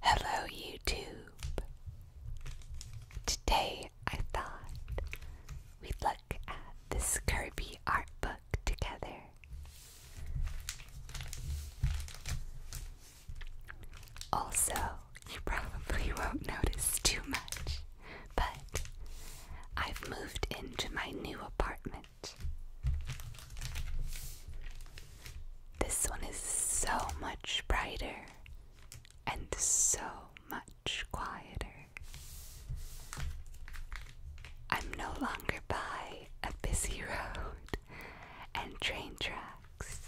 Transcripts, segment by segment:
Hello, YouTube! Today I thought we'd look at this curvy art book together. Also, you probably won't notice too much, but I've moved into my new apartment. This one is so much brighter and so much quieter. I'm no longer by a busy road and train tracks.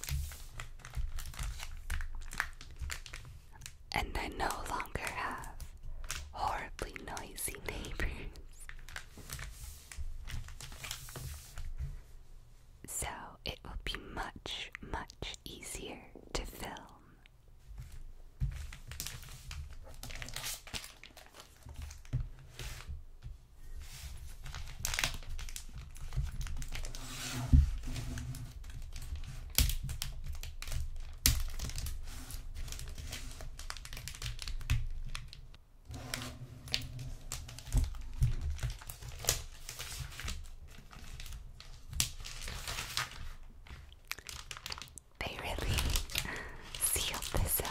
And I no longer have horribly noisy neighbors so it will be much, much easier to film. They really sealed this up.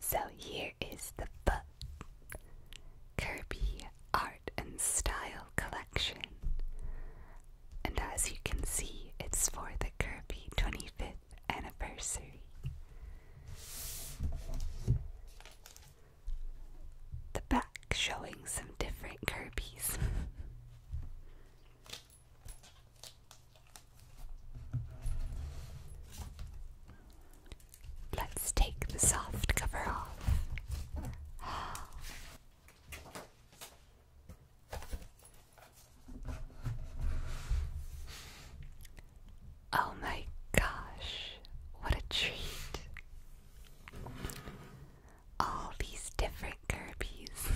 So here is the book Kirby Art and Style Collection. And as you can see, it's for the Kirby 25th anniversary. The back showing some different Kirby's. Let's take the soft cover off. Oh my gosh, what a treat! All these different Kirby's.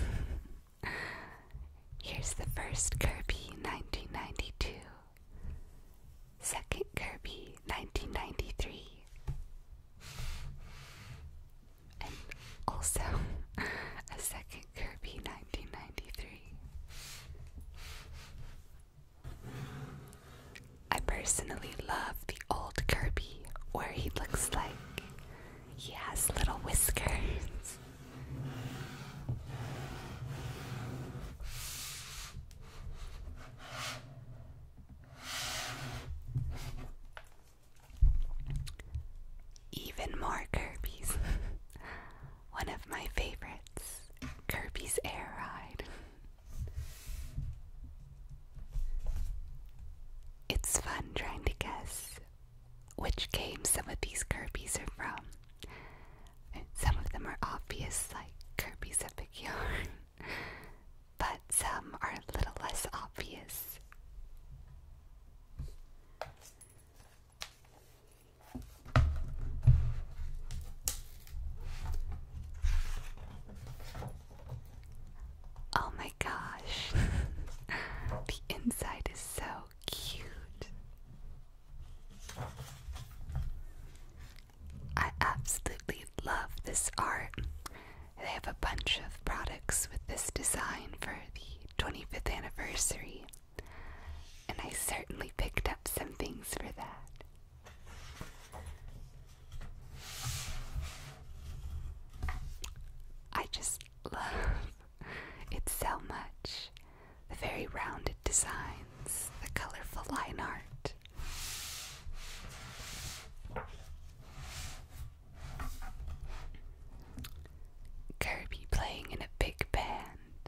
Here's the first Kirby 1992, second Kirby 1993, and also a second Kirby 1993. I personally love the old Kirby where he looks like he has little whiskers. Even more Kirby's. One of my favorites, Kirby's Air Ride. It's fun trying to guess which game some of these Kirby's are from. some of them are obvious, like Kirby's Epic Yarn, but some are a little less obvious. Oh my gosh, the inside is so cute. I absolutely love this art. They have a bunch of products with this design for the 25th anniversary, and I certainly picked up some things for that. I just love it so much. The very rounded designs, the colorful line art. Kirby playing in a big band.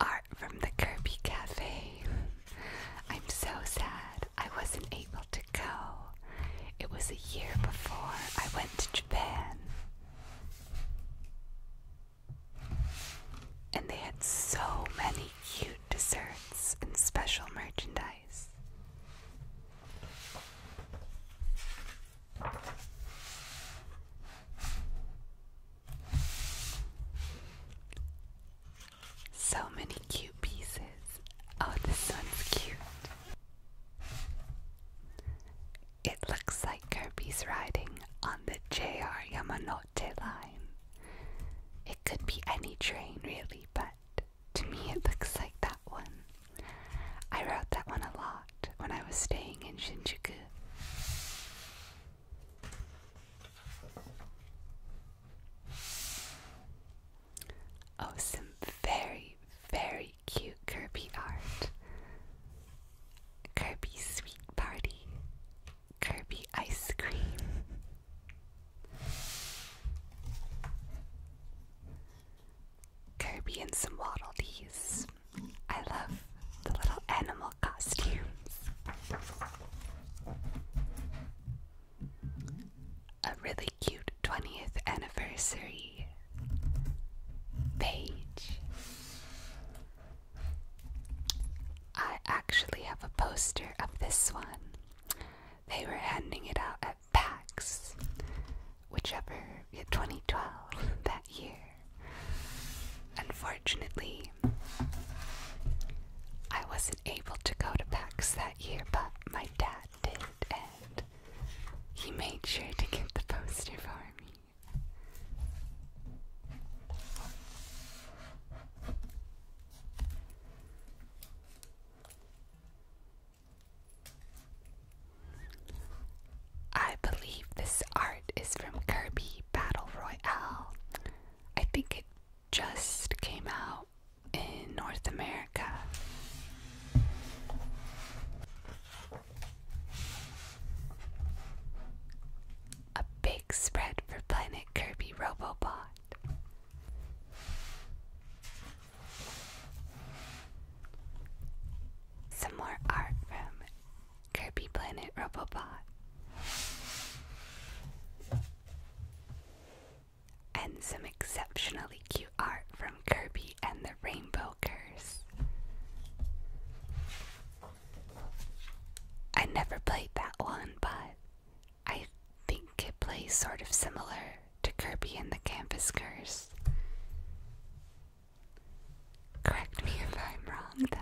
Art from the Kirby Cafe. I'm so sad I wasn't able go. It was a year before I went to Japan. And they had so many cute desserts and special merchandise. So many cute pieces. Oh, this one's cute. It looks like Kirby's riding on the JR Yamanote line. It could be any train, really, but to me it looks like that one. I wrote that one a lot when I was staying in Shinjuku. Oh, some very, very cute Kirby art. Kirby Sweet Party. Kirby Ice Cream. Kirby and some waddledees. I love the little animal costumes a really cute 20th anniversary page. I actually have a poster of this one. They were handing it out at PAX, whichever, yeah, 2012, that year. Unfortunately, I was not able to go to PAX that year, but my dad did, and he made sure to get the poster for me. I believe this art is from Kirby Battle Royale. I think it just came out in North America. A big spread for Planet Kirby Robobot. Some more art from Kirby Planet Robobot and some exceptionally cute art from Kirby and the Rainbow Curse. I never played that one, but I think it plays sort of similar to Kirby and the Canvas Curse. Correct me if I'm wrong, though.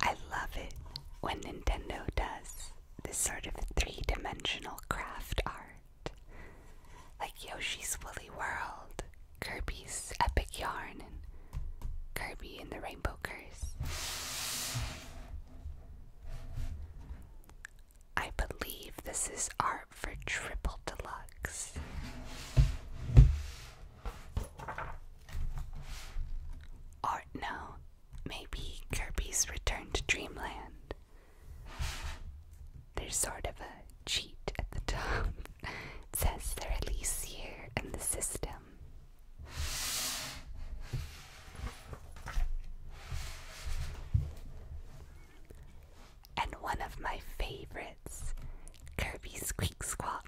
I love it when Nintendo does this sort of three dimensional craft art, like Yoshi's Woolly World, Kirby's Epic Yarn, and Kirby and the Rainbow Curse. I believe this is art for Triple Deluxe. Art now, maybe Kirby's Return to Dreamland. There's sort of a cheat at the top. It says at least here in the system. And one of my favorites, Kirby Squeak Squat.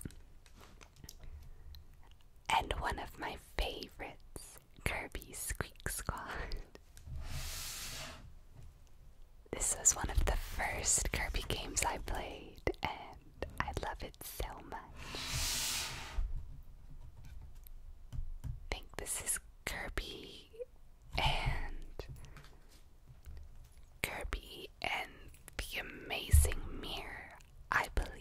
And one of my favorites, Kirby Squeak Squad. This was one of the first Kirby games I played, and I love it so much. think this is Kirby and Kirby and the amazing mirror, I believe.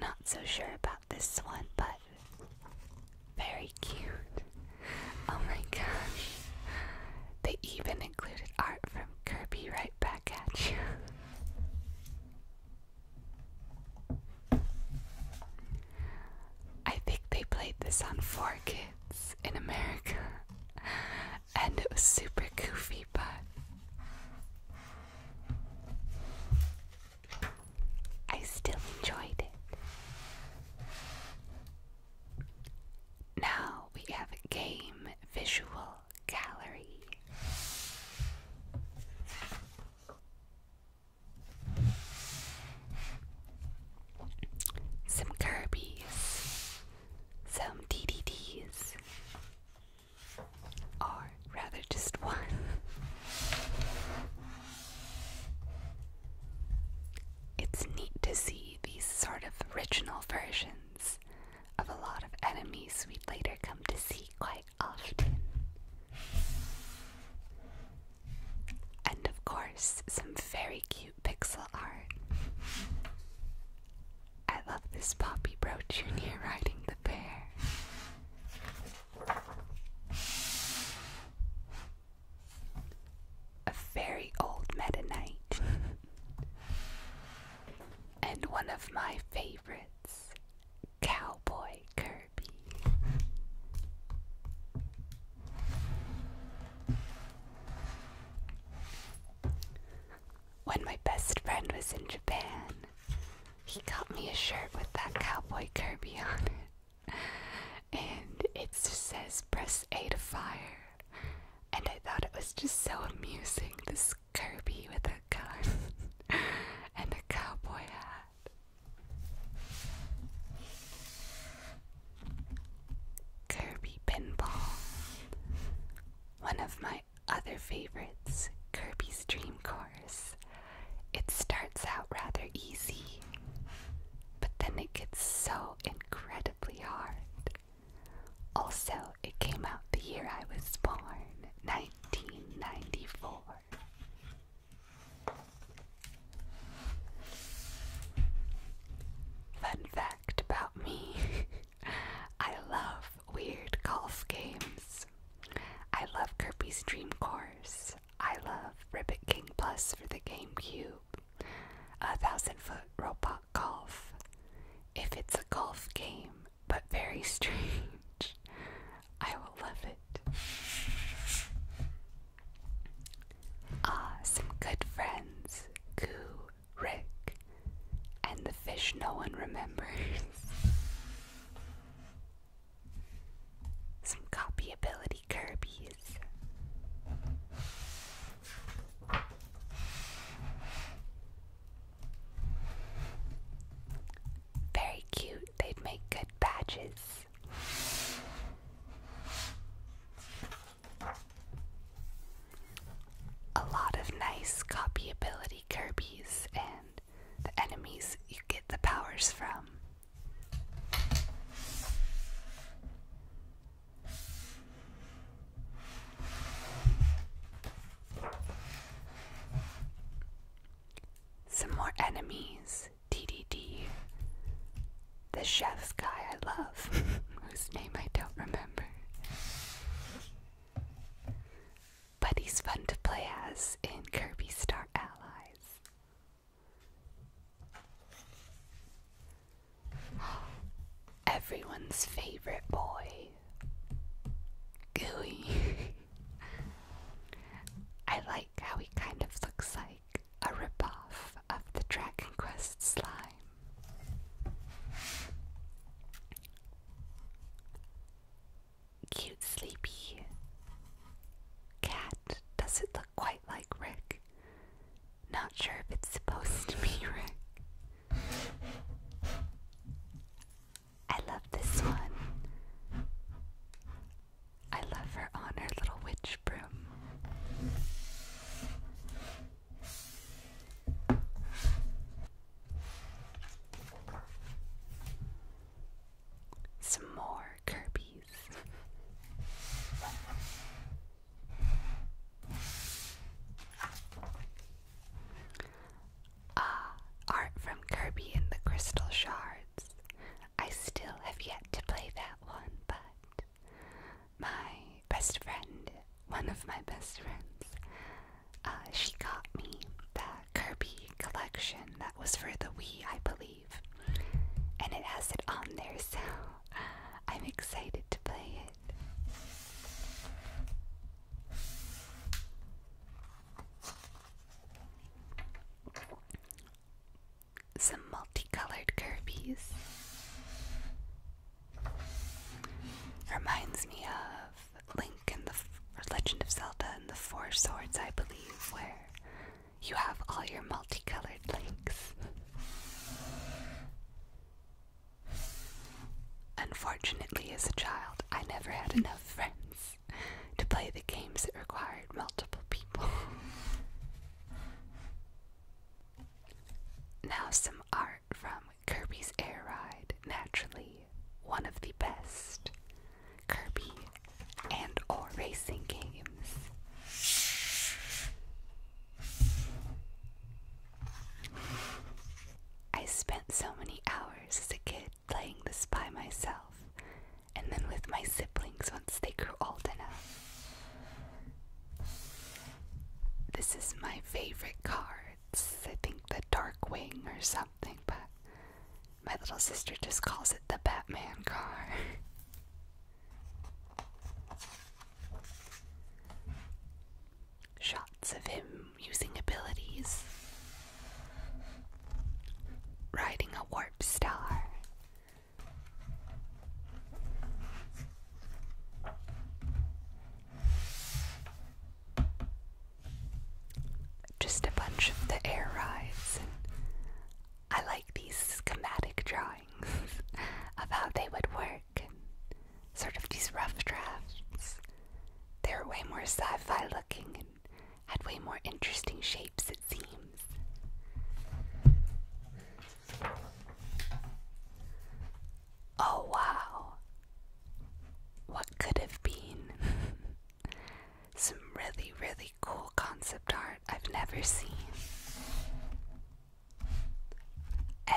Not so sure about this one, but very cute. Oh my gosh. They even included art from Kirby right back at you. I think they played this on 4K in America, and it was super goofy, but I still enjoyed it. Now we have a game visual gallery. Some Kirby's, some DDDs, or rather just one. It's neat to see these sort of original versions of a lot of enemies we'd later come to see quite often. And of course, some very cute pixel art. I love this Poppy Bro Jr. riding the bear. A very old Meta and one of my favorites, Cowboy Kirby. When my best friend was in Japan, he got me a shirt with that cowboy Kirby on it. And it says, Press A to fire. And I thought it was just so amusing this Kirby with a gun and a cowboy hat. Kirby Pinball. One of my other favorites, Kirby's Dream Course. It starts out rather easy, but then it gets so incredibly hard. Also, it came out the year I was born, 1994. Fun fact about me I love weird golf games. I love Kirby's Dream Course. I love Ribbit King Plus for the GameCube. A thousand foot robot golf. If it's a golf game, but very strange, I will love it. Ah, some good friends. Goo Rick, and the fish no one remembers. Some copyability Kirby's. Very cute, they'd make good badges a lot of nice copyability Kirby's and the enemies you get the powers from. Some more enemies, DDD the chef's guy I love, whose name I don't remember. But he's fun to play as in Kirby Star Allies. Everyone's favorite boy, Gooey. I like how he kind of looks like a ripoff of the Dragon Quest slime. Cute, sleepy cat. Does it look quite like Rick? Not sure if it's supposed to be Rick. I love this one. I love her on her little witch broom. Some more Kirby's. ah, art from Kirby and the Crystal Shards. I still have yet to play that one, but my best friend, one of my best friends, uh, she got me the Kirby collection that was for the Wii, I believe, and it has it on there, so I'm excited to play it. Some multicolored Kirby's. Reminds me of Link in the Legend of Zelda and the Four Swords, I believe, where you have all your multicolored links. Unfortunately, as a child, I never had enough friends to play the games that required multiple people. now, some art from Kirby's Air Ride, naturally one of the best Kirby and or racing games. I spent so many hours as a kid playing this by myself and then with my siblings once they grew old enough. This is my favorite cards. I think the Darkwing or something, but my little sister just calls it the Batman car. Shots of him using abilities, riding a warp star, just a bunch of the air rides, and I like these schematic drawings of how they would work, and sort of these rough drafts. They're way more sci fi looking and had way more interesting shapes, it seems. Oh wow. What could have been? Some really, really cool concept art I've never seen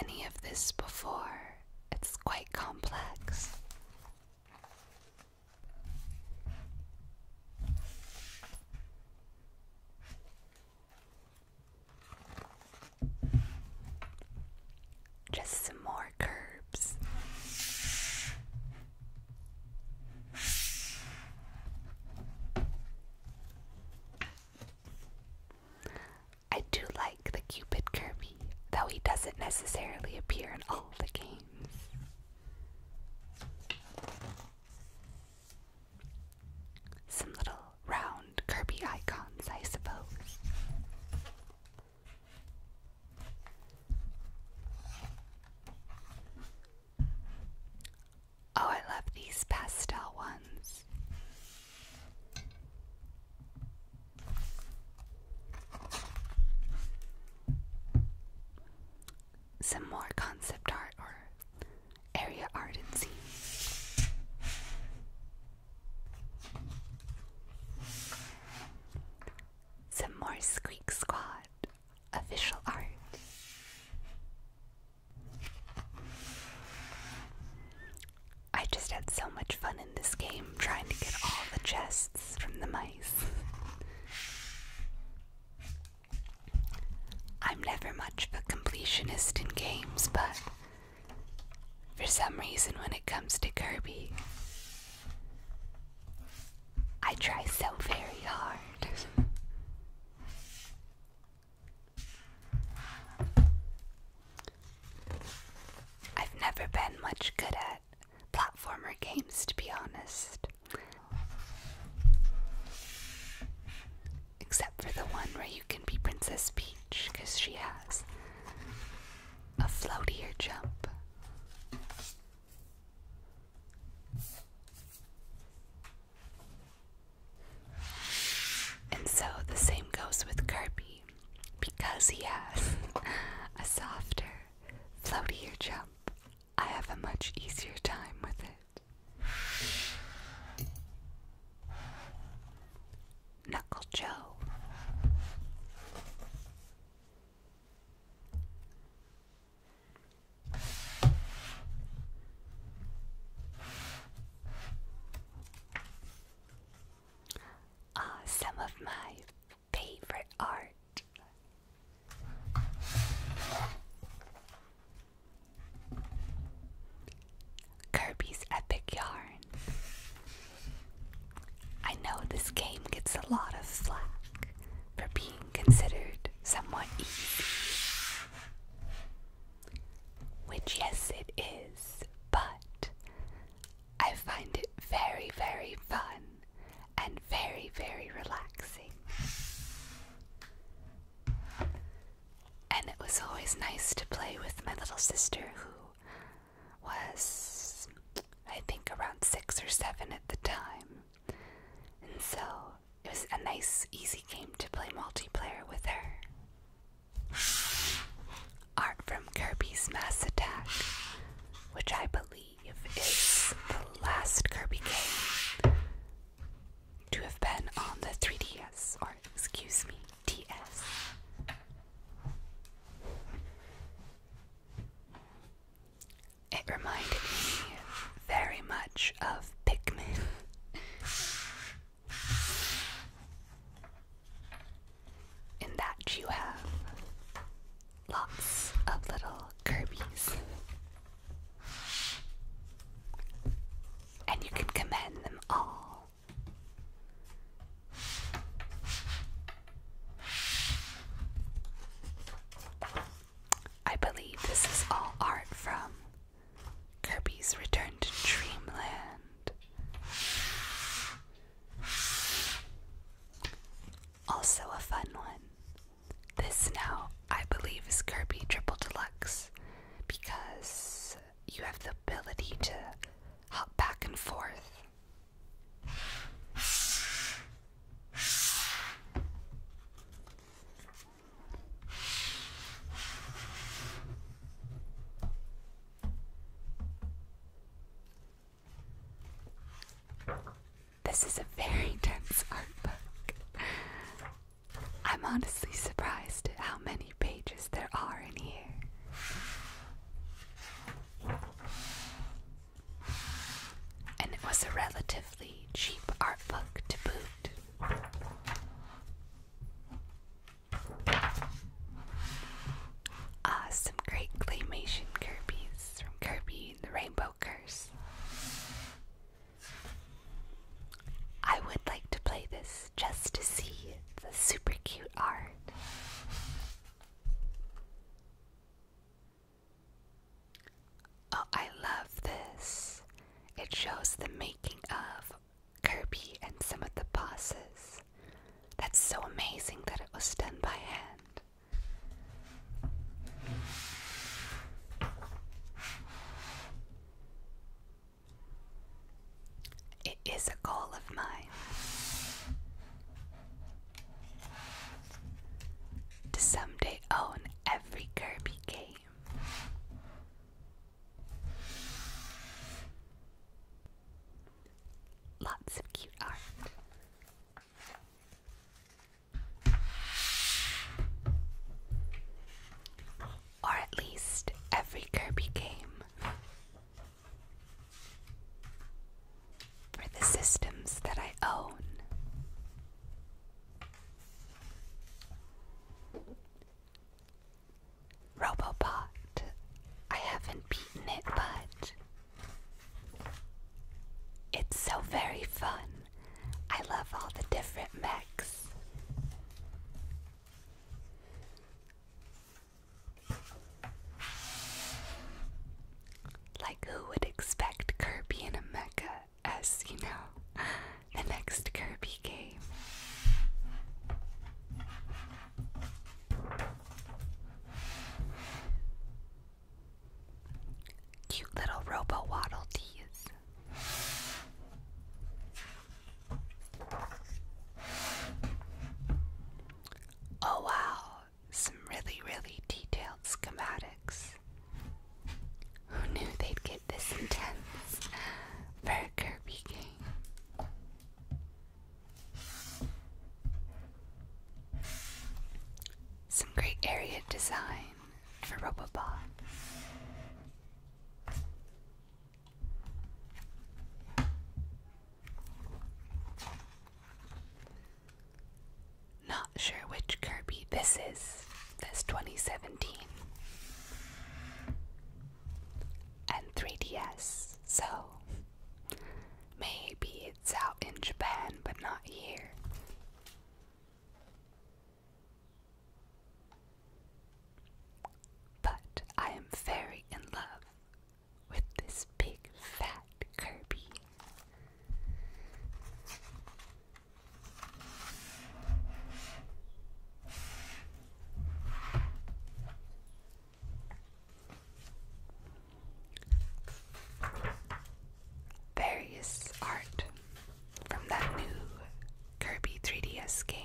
any of this before. It's quite complex. Just some more curbs. I do like the Cupid Kirby, though he doesn't necessarily appear in all the games. Some little round Kirby icons, I suppose. Oh, I love these pastel ones. Some more concept art or area ardency. Some more Squeak Squad official art. I just had so much fun in this game trying to get all the chests from the mice. I'm never much of a completionist in games, but for some reason, when it comes to Kirby, I try so very hard. I've never been much good at platformer games, to be honest. Except for the one where you can be Princess Peach, because she has a floatier jump. And so the same goes with Kirby, because he has a softer, floatier jump. I have a much easier time with it. Knuckle Joe. Uh, some of my favorite art. Kirby's Epic Yarn. I know this game gets a lot of flack for being considered somewhat easy. Which, yes, it is, but I find it very, very fun and very, very relaxing. And it was always nice to play with my little sister, who was, I think, around six or seven at the time. And so it was a nice, easy game to play multiplayer with her. Art from Kirby's Mass Attack, which I believe is the last Kirby game to have been on the 3DS, or excuse me, TS. It reminded me very much of Pikmin. In that you have lots of little Kirby's. And you can command them all I believe this is all art from Kirby's Return to Dreamland. Also, a fun one. This now, I believe, is Kirby Triple Deluxe because you have the ability to hop back and forth. This is a very dense art book. I'm honestly surprised at how many pages there are in here. And it was a relatively cheap art book to boot. Ah, some great claymation Kirby's from Kirby the Rainbow Curse. I would like to play this just to see the super cute art. Oh, I love this. It shows the making of Kirby and some of the bosses. That's so amazing that it was done by hand. It is a goal of mine. To someday own every Kirby game. Lots of cute art or at least every Kirby game. For the systems that I own. Robopot. I haven't beaten it, but it's so very fun. I love all the different mechs. Like, who would expect Kirby in a mecha as, you know, the next Kirby game? Cute little robo waddle tees. Oh, wow, some really, really detailed schematics. Who knew they'd get this intense for Kirby game? Some great area design for Robobot. Not sure which Kirby this is. This 2017. And 3DS, so maybe it's out in Japan but not here. But I am very in love with this big fat Kirby. Various art from that new Kirby 3DS game.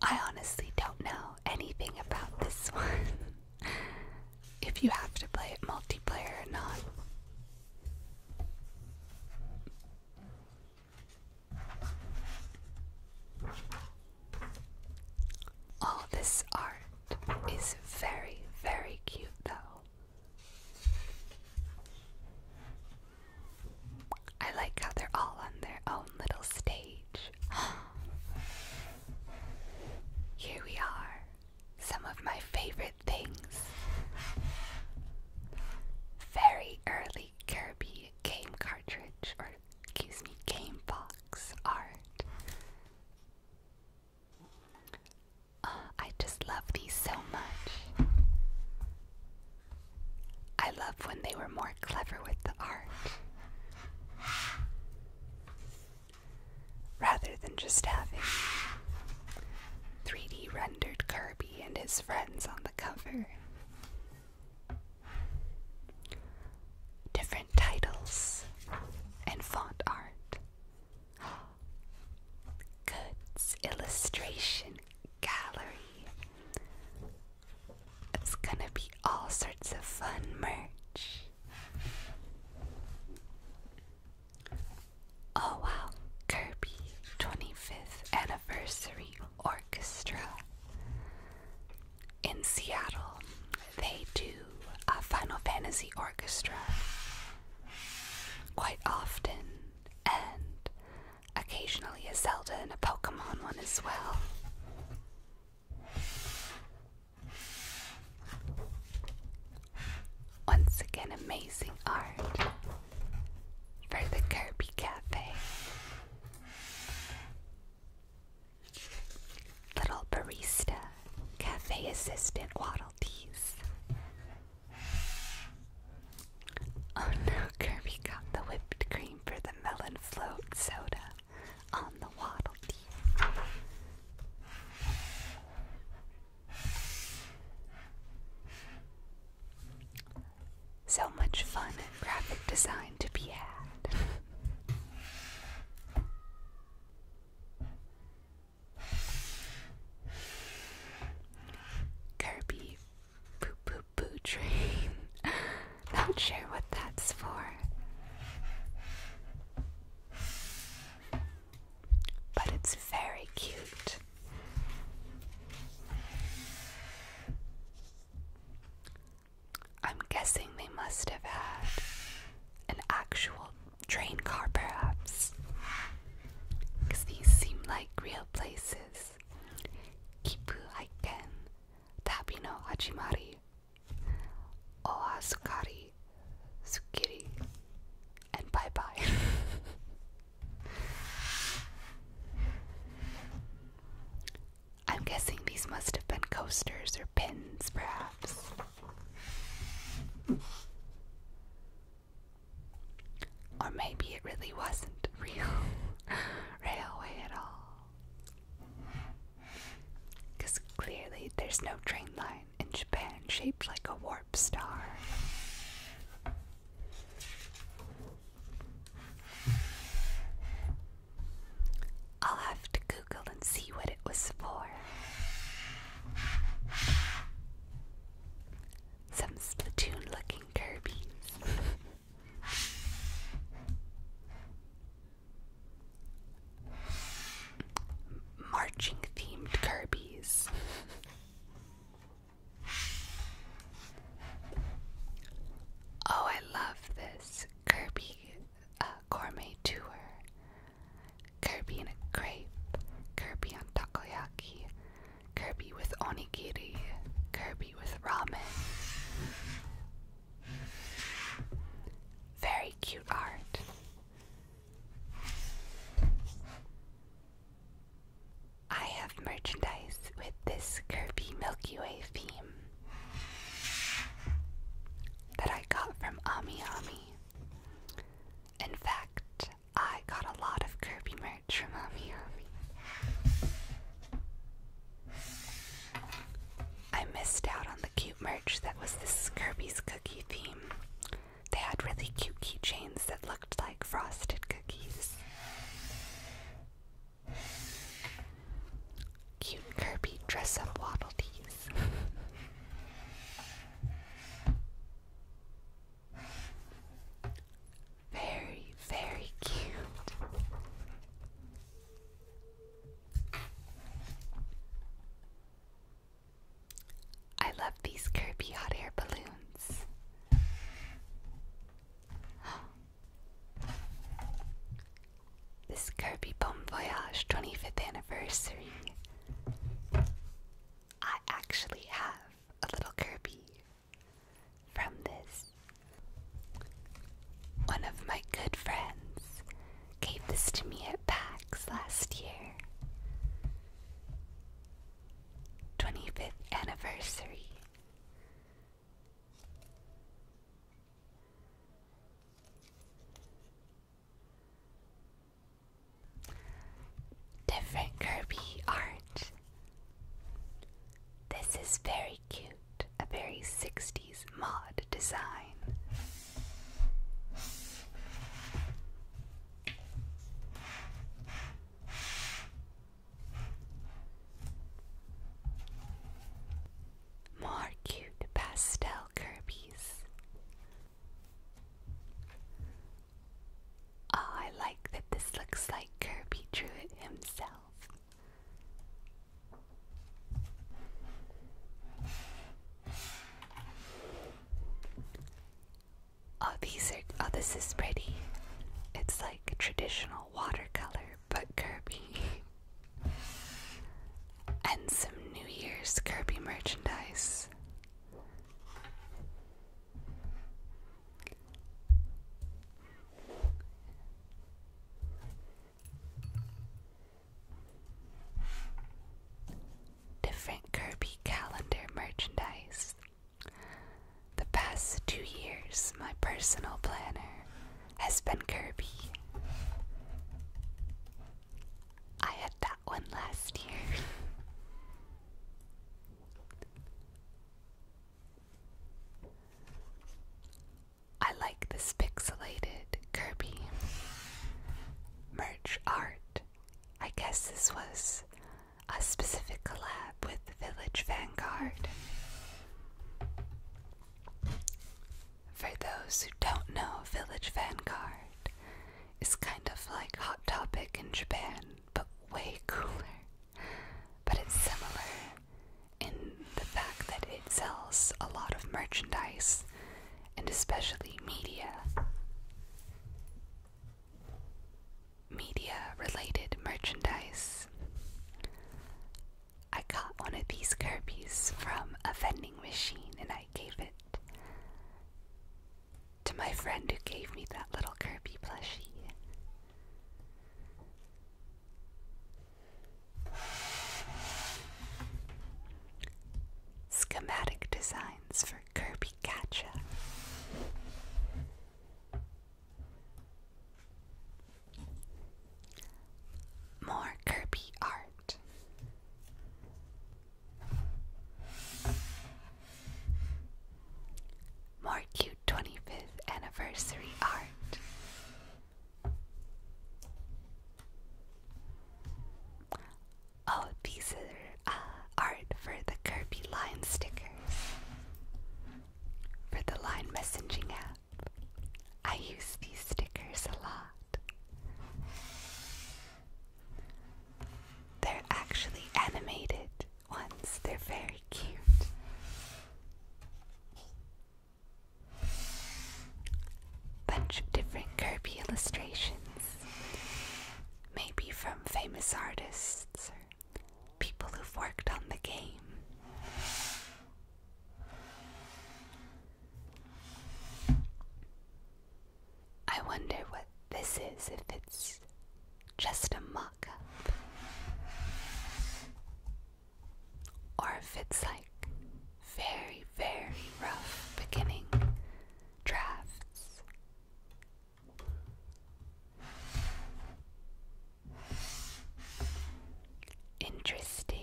I honestly don't know anything about this one. if you have to play it multiplayer or not. All this art is very, very cute, though. I like how they're all on their own little stage. Here we are, some of my favorite things. Very early Kirby game cartridge, or excuse me, game box art. I just love these so much. I love when they were more clever with the art. Rather than just having 3D rendered Kirby and his friends on the cover. Different titles and font art. Goods Illustration Gallery. It's gonna be all sorts of fun merch. Oh wow, Kirby 25th Anniversary Orchestra. In Seattle, they do a Final Fantasy orchestra quite often and occasionally a Zelda and a Pokemon one as well. Once again, amazing art for the Kirby Cafe. Little barista, cafe assistant Waddle Oh no, Kirby got the whipped cream for the melon float soda on the waddle So much fun and graphic design to be had. Kirby Boo, boo, boo! train. Not sure what that's for. But it's very cute. I'm guessing they must have had an actual train car, perhaps. Because these seem like real places places. Kipu Haiken, Tabi no Hajimari, Oasukari, Tsukiri, and bye bye. I'm guessing these must have been coasters or pins, perhaps. Or maybe it really wasn't real railway at all. Because clearly there's no train line in Japan shaped like a warp star. I'll have to Google and see what it was for. Some Splatoon looking Kirby's. Marching themed Kirby's. Oh, I love this Kirby uh, gourmet tour. Kirby in a crepe, Kirby on takoyaki, Kirby with onigiri, Kirby with ramen. Very cute art. I have merchandise with this Kirby Milky Way theme that I got from Ami Ami. In fact, I got a lot of Kirby merch from Ami Ami. I missed out on the cute merch that was this Kirby's cookie theme. They had really cute keychains that looked like frosted cookies. Cute Kirby dress up waddle tees. Very, very cute. I love these Kirby hot air balloons. This Kirby Bon Voyage 25th anniversary. I actually have a little Kirby from this, one of my good friends gave this to me at PAX last year. 25th anniversary. Different art this is very cute, a very 60s mod design. More cute pastel Kirby's. Oh, I like that this looks like Kirby drew it himself. Oh, these are. Oh, this is pretty. It's like traditional watercolor, but Kirby. and some New Year's Kirby merchandise. Different Kirby calendar merchandise. The past two years, my personal planner has been Kirby. I had that one last year. I like this pixelated Kirby merch art. I guess this was a specific collab with Village Vanguard. For those who don't know, Village Vanguard is kind of like Hot Topic in Japan, but way cooler but it's similar in the fact that it sells a lot of merchandise and especially media. Media related merchandise. I got one of these Kirby's from a vending machine and I gave it to my friend who gave me that little Kirby plushie. Schematic designs for Kirby Gacha. More Kirby art. More cute 25th anniversary art. Oh, these are uh, art for the Kirby Line stickers for the Line messaging app. I use these stickers a lot. They're actually animated, ones. They're very cute. Bunch of different Kirby illustrations, maybe from famous artists or people who've worked on the game. I wonder what this is if it's just a mock up. Or if it's like very, very rough beginning drafts. Interesting.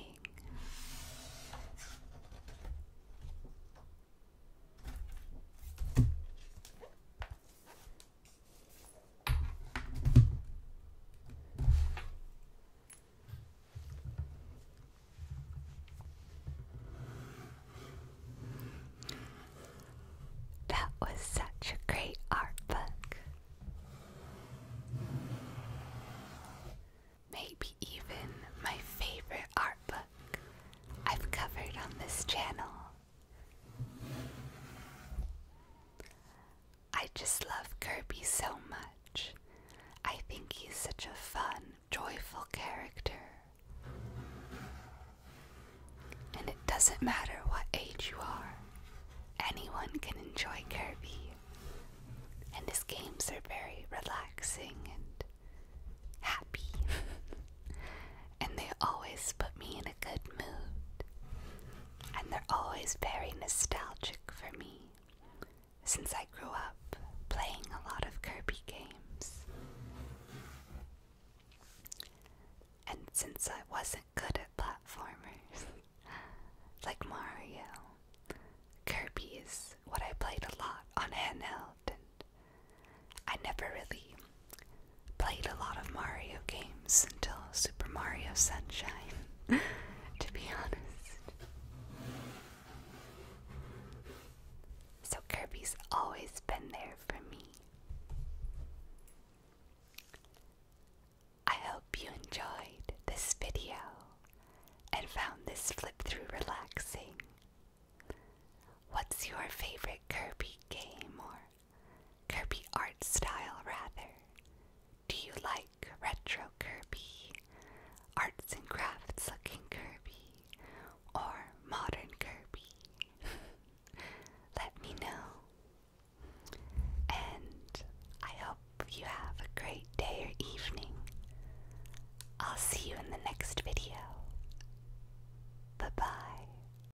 That was such a great art book. Maybe even my favorite art book I've covered on this channel. I just love Kirby so much. I think he's such a fun, joyful character. And it doesn't matter what age you are, anyone can enjoy Kirby. And his games are very relaxing and happy. and they always put me in a good mood. And they're always very nostalgic for me since I grew up playing a lot of Kirby games. And since I wasn't good at platformers, like Mario, Kirby is what I played a lot on handheld, and I never really played a lot of Mario games until Super Mario Sunshine, to be honest. So Kirby's always been there for me. I hope you enjoyed this video and found this flip through relaxing. What's your favorite Kirby game or Kirby art style, rather. Do you like retro Kirby, arts and crafts looking Kirby, or modern Kirby? Let me know. And I hope you have a great day or evening. I'll see you in the next video. Bye bye.